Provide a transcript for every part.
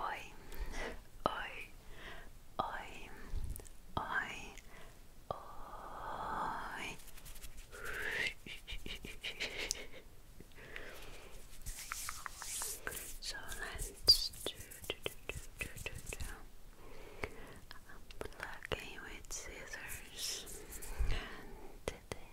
Oi, oi, oi, oi, oi. so let's do, do, do, do, do, do, I'm plucking with scissors and today. And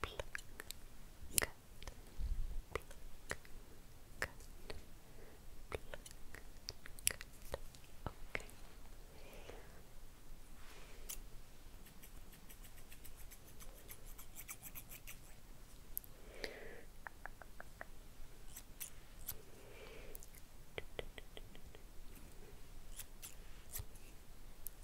pluck, cut, pluck, cut, pluck, cut. Okay. Okay.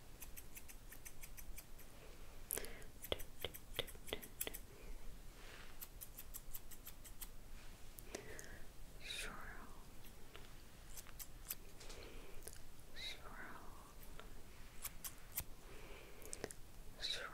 Swirl. Swirl. Swirl. Swirl. Swirl.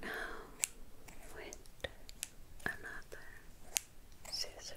Now, with another scissor,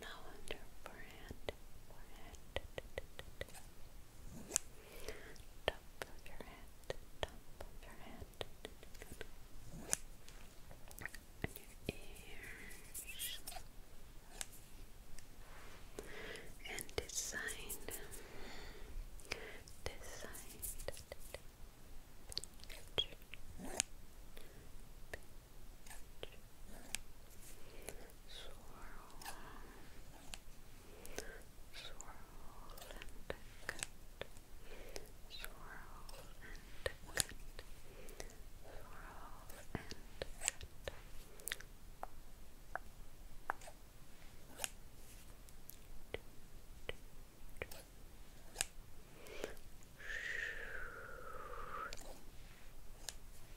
Now under forehead, forehead, top of your head, top of your head, and your ears, and this side, swirl, swirl and cut, swirl and cut, swirl and cut. Swirl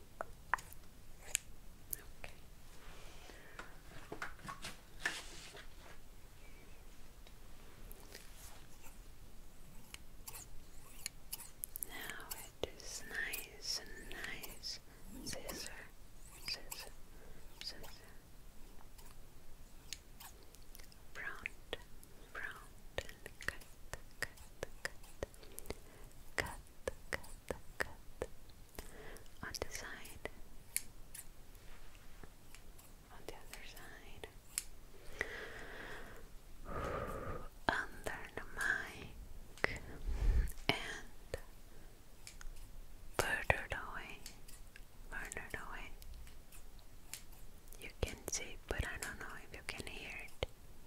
Okay. Now it is nice nice. Scissor, scissor, scissor. Brown, brown, cut, cut, cut, cut, cut, on the side, on the other side, under the mic, and further away, further away. You can see, but I don't know if you can hear it.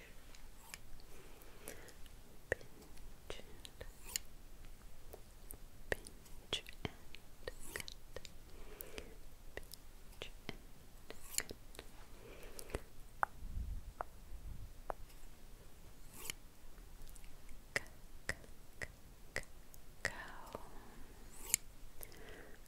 Pinch and pinch and cut. Pinch and cut. C -c -c -c cow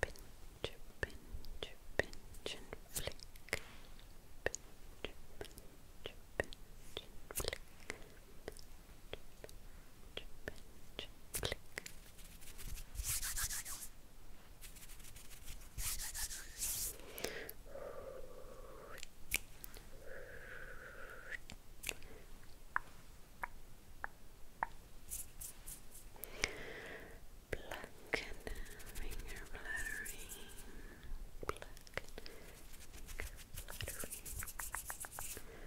pinch, pinch, pinch and flick. Pinch, pinch, pinch and flick. Pinch, pinch, flick. Black and finger flattering. Black finger flattering.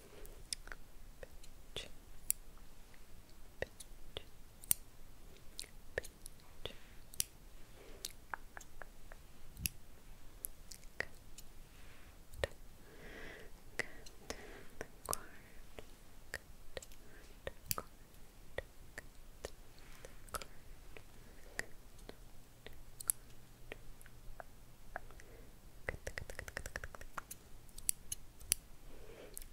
Pinch. Pinch. Pinch. Good. Good. The cord. Good. The cord. Good. The cord. Good. Good, good, good, good, good, good.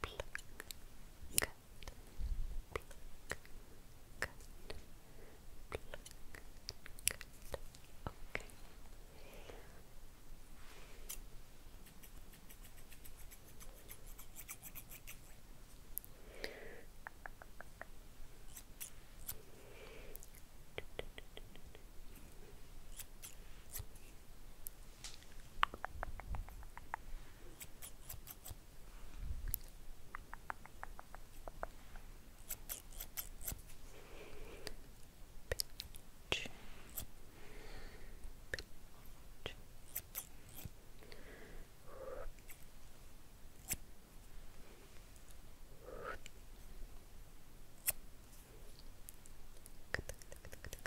pluck, cut, pluck, cut, pluck, cut. Okay. Okay. Пинч. Пинч. Так, так, так, так.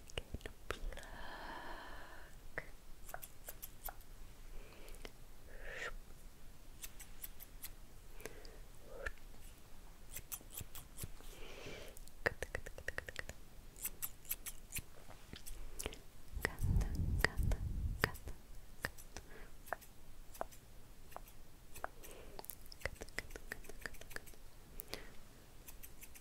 begin to pluck. Ganda, ganda, ganda, Good, good, good, good, good.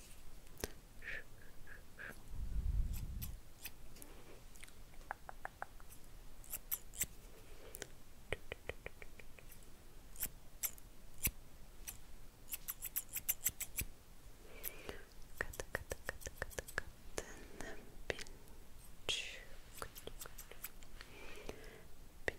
Cut, cut, cut, cut, cut, and then pinch, pinch, pinch,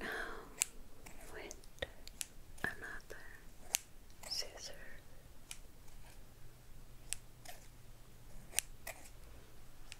Now, with another scissor.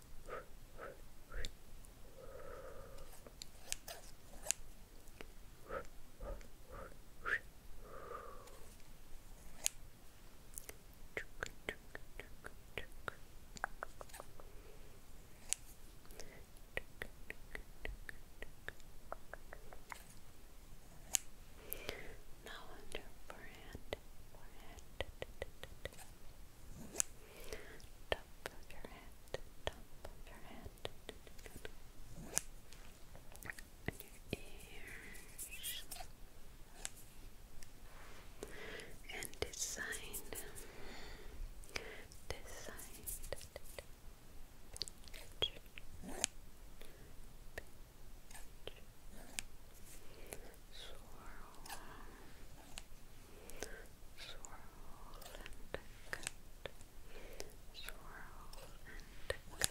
now under forehead, forehead top of your head, top of your head, and your ears, and this side, swirl, swirl and cut, swirl and cut, swirl and cut. Swirl,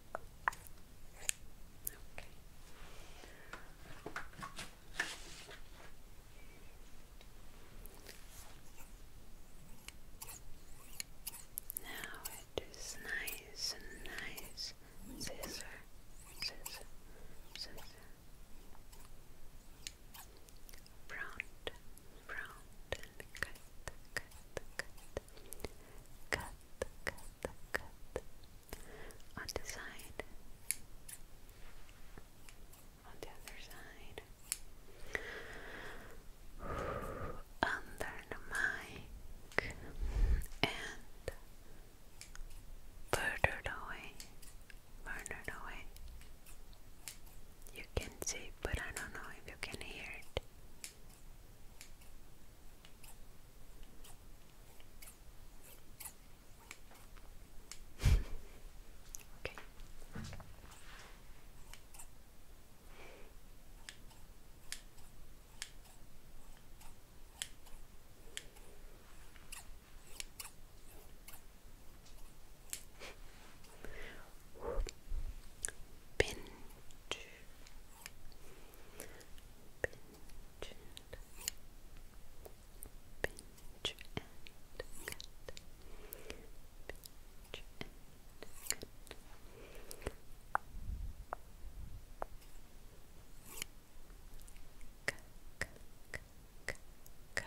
Okay. Now it is nice nice. Scissor, scissor, scissor. Round, round, cut, cut, cut, cut, cut, on the side, on the other side, under the mic, and further away, further away. You can see, but I don't know if you can hear it okay. Bintu Pinch and pinch and Pinch and cut. Go. Go. Go.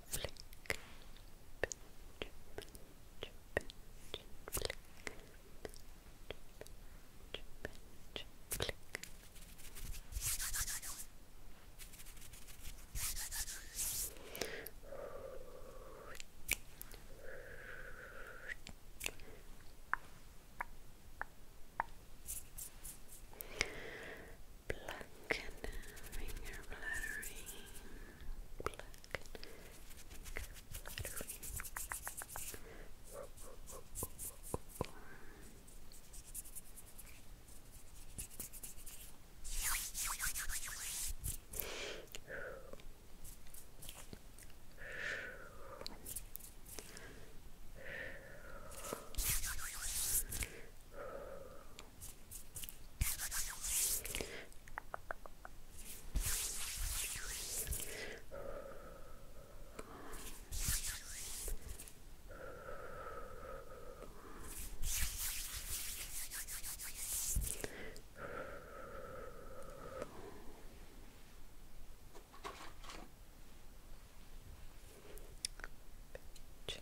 flick, pinch, pinch, pinch, flick, pinch, pinch, flick black and finger fluttering, black and finger Pitch. Pitch.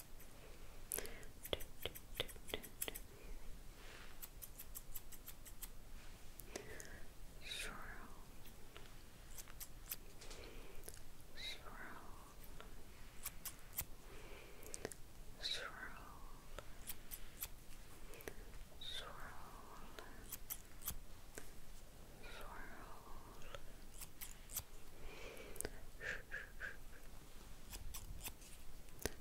Swirl. Swirl. Swirl. Swirl. Swirl.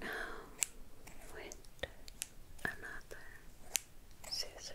Now, with another scissor.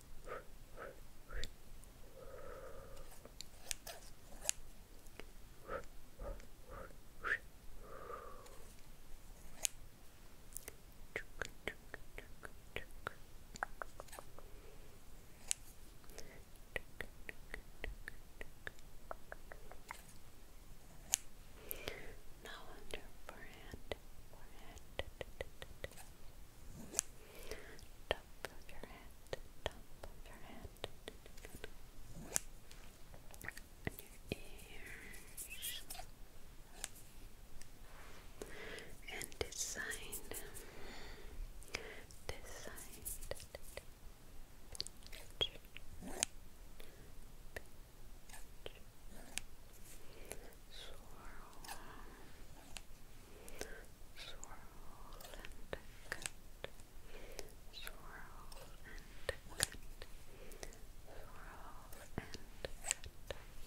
now under forehead, forehead, top of your head, top of your head, and your ears, and this side, this side, pinch, pinch, swirl, swirl and cut, swirl and cut, swirl and cut. Shoo. Shoo.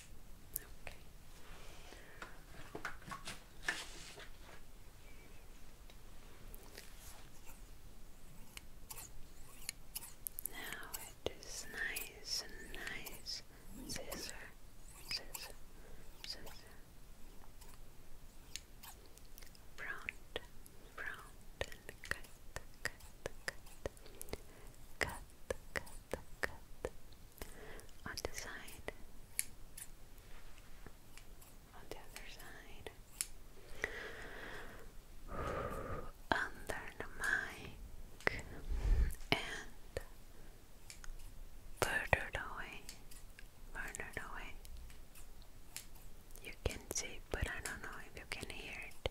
Okay. Now it is nice nice. Scissor, scissor, scissor. Browned, browned, cut, cut, cut, cut, cut, cut, on the side on the other side under the mic and further away further away you can see but I don't know if you can hear it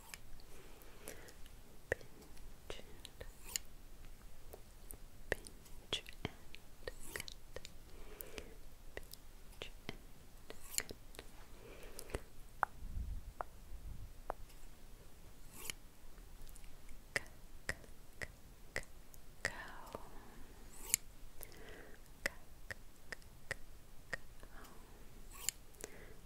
Pinch and pinch and Pinch and cut. C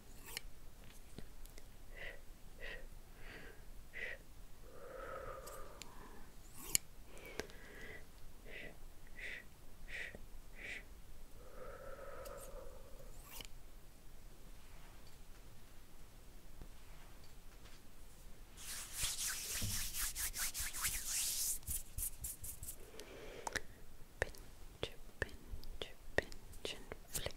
Pinch, pinch, pinch and flick.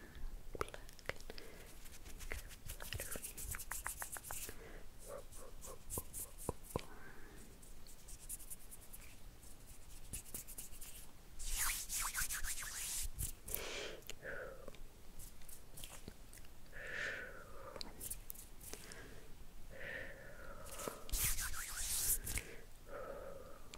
Black Good.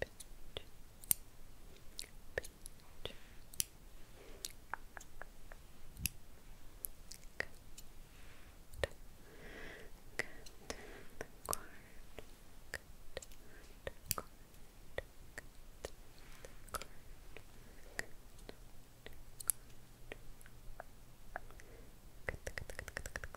Pinch. Pinch. Good. Good. The cord. Good. The cord. Good. The cord. Good. Good, good, good, good, good, good.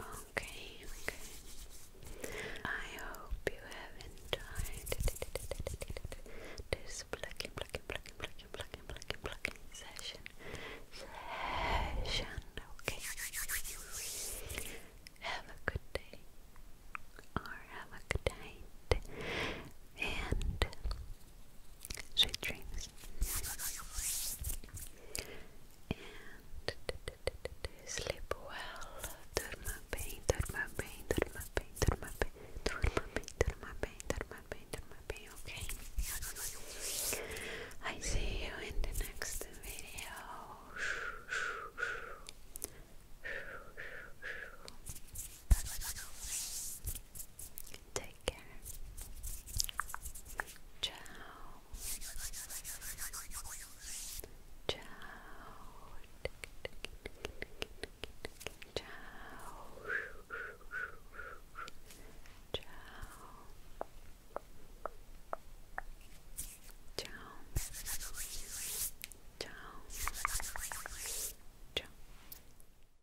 Okay, okay. I hope you have enjoyed this plucking, plucking, plucking, plucking, plucking, plucking, plucking session. Session, okay. Have a good day, or have a good night, and Sweet dreams. And sleep well. Durma bem, durma bem, durma bem, durma bem, durma bem, durma bem, durma bem, durma bem, okay? I see you in the next video. Take care. Ciao. Ciao. Ciao. Ciao. Ciao. Ciao. Ciao.